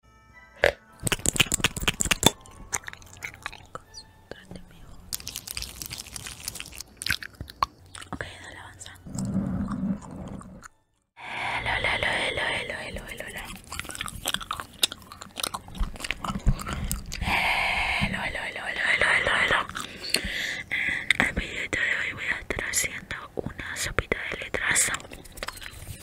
Concéntrate Ok, dale, el de hoy voy a estar haciendo una sopita de letras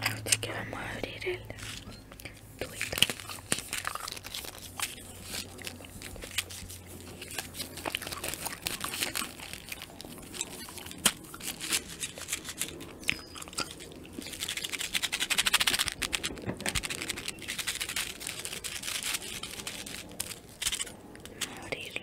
Así que vamos a abrir el tubito. Vamos a abrirlo.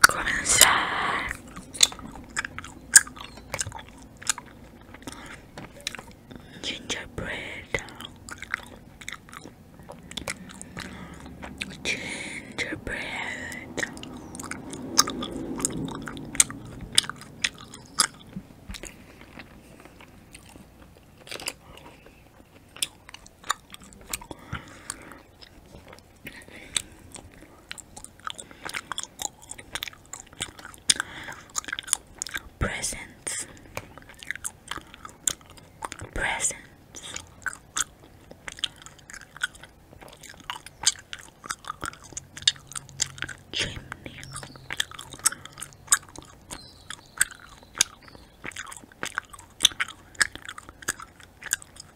Come inside. Gingerbread. Gingerbread. Presents, presents, chimney,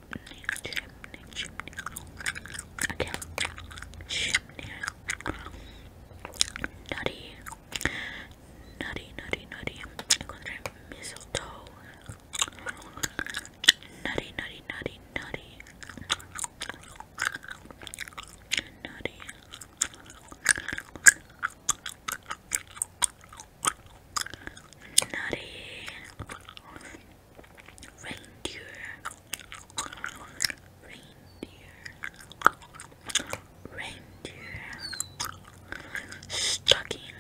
chimney, chimney, chimney. Okay, chimney. Nutty, nutty, nutty, nutty. Encontré mistletoe. Nutty, nutty, nutty, nutty. Nutty. Nutty Reindeer Reindeer Reindeer Stocking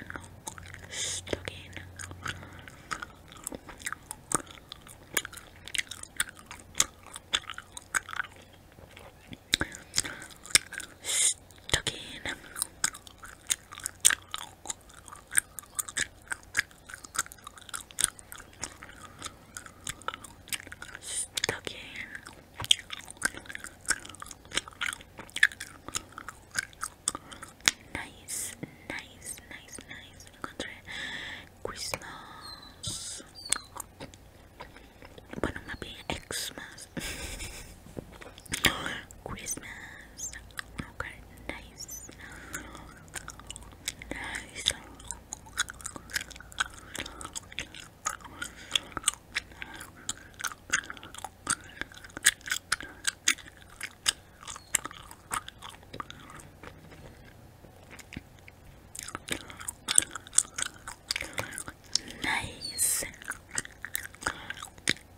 Stocking Stucking, Stuck Nice, nice, nice, nice. Encontré Christmas. Bueno, más Xmas. Christmas. Okay, nice. Nice nice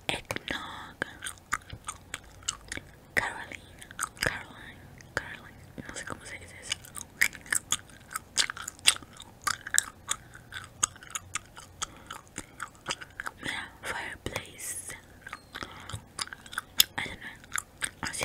eggnog Caroline, Caroline, Caroline, no sé cómo se dice eso. fireplace. I don't know. Así.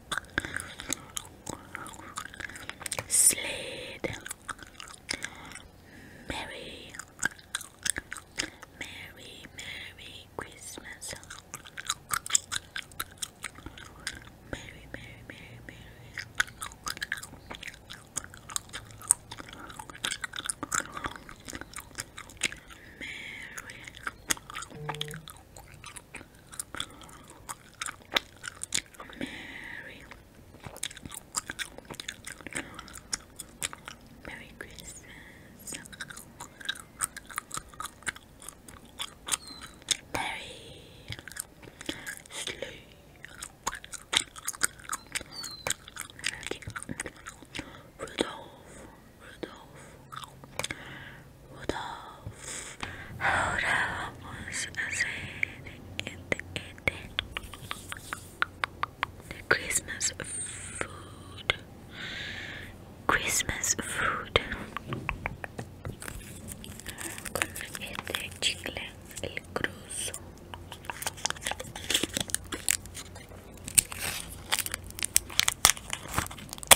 Slade Merry Merry Merry Christmas Merry Merry Merry Merry Merry, Merry Christmas. Merry, Sleigh. Rudolph. Rudolph, Rudolph, ahora vamos a hacer este, este. The Christmas food, Christmas food, con este chicle, el cruzo.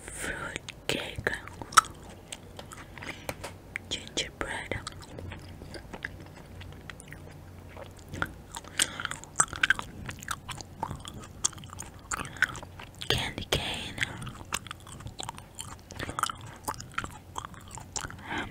fruit cake, gingerbread. Candy cane, um,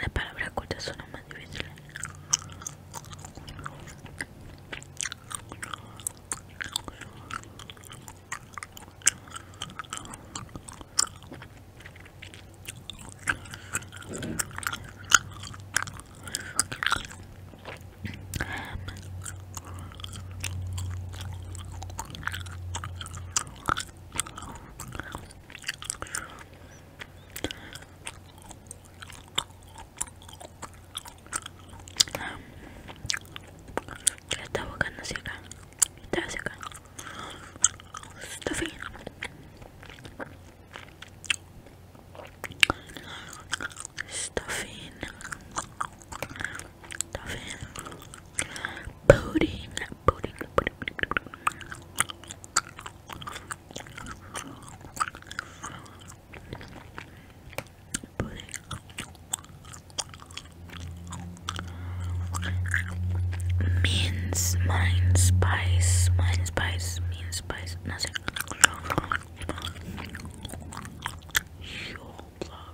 La palabra cortas son más difíciles. Ya está buscando hacia acá. Está hacia acá. Está fin. Está fin. Stuffing. Pudding. Pudding. Pudding. Pudding. Means mine spice, mine spice, mean spice, nothing.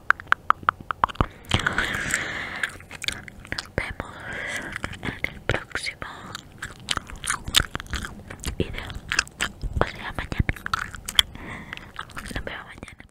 Nos vemos en el próximo video. O sea, mañana. Nos vemos mañana.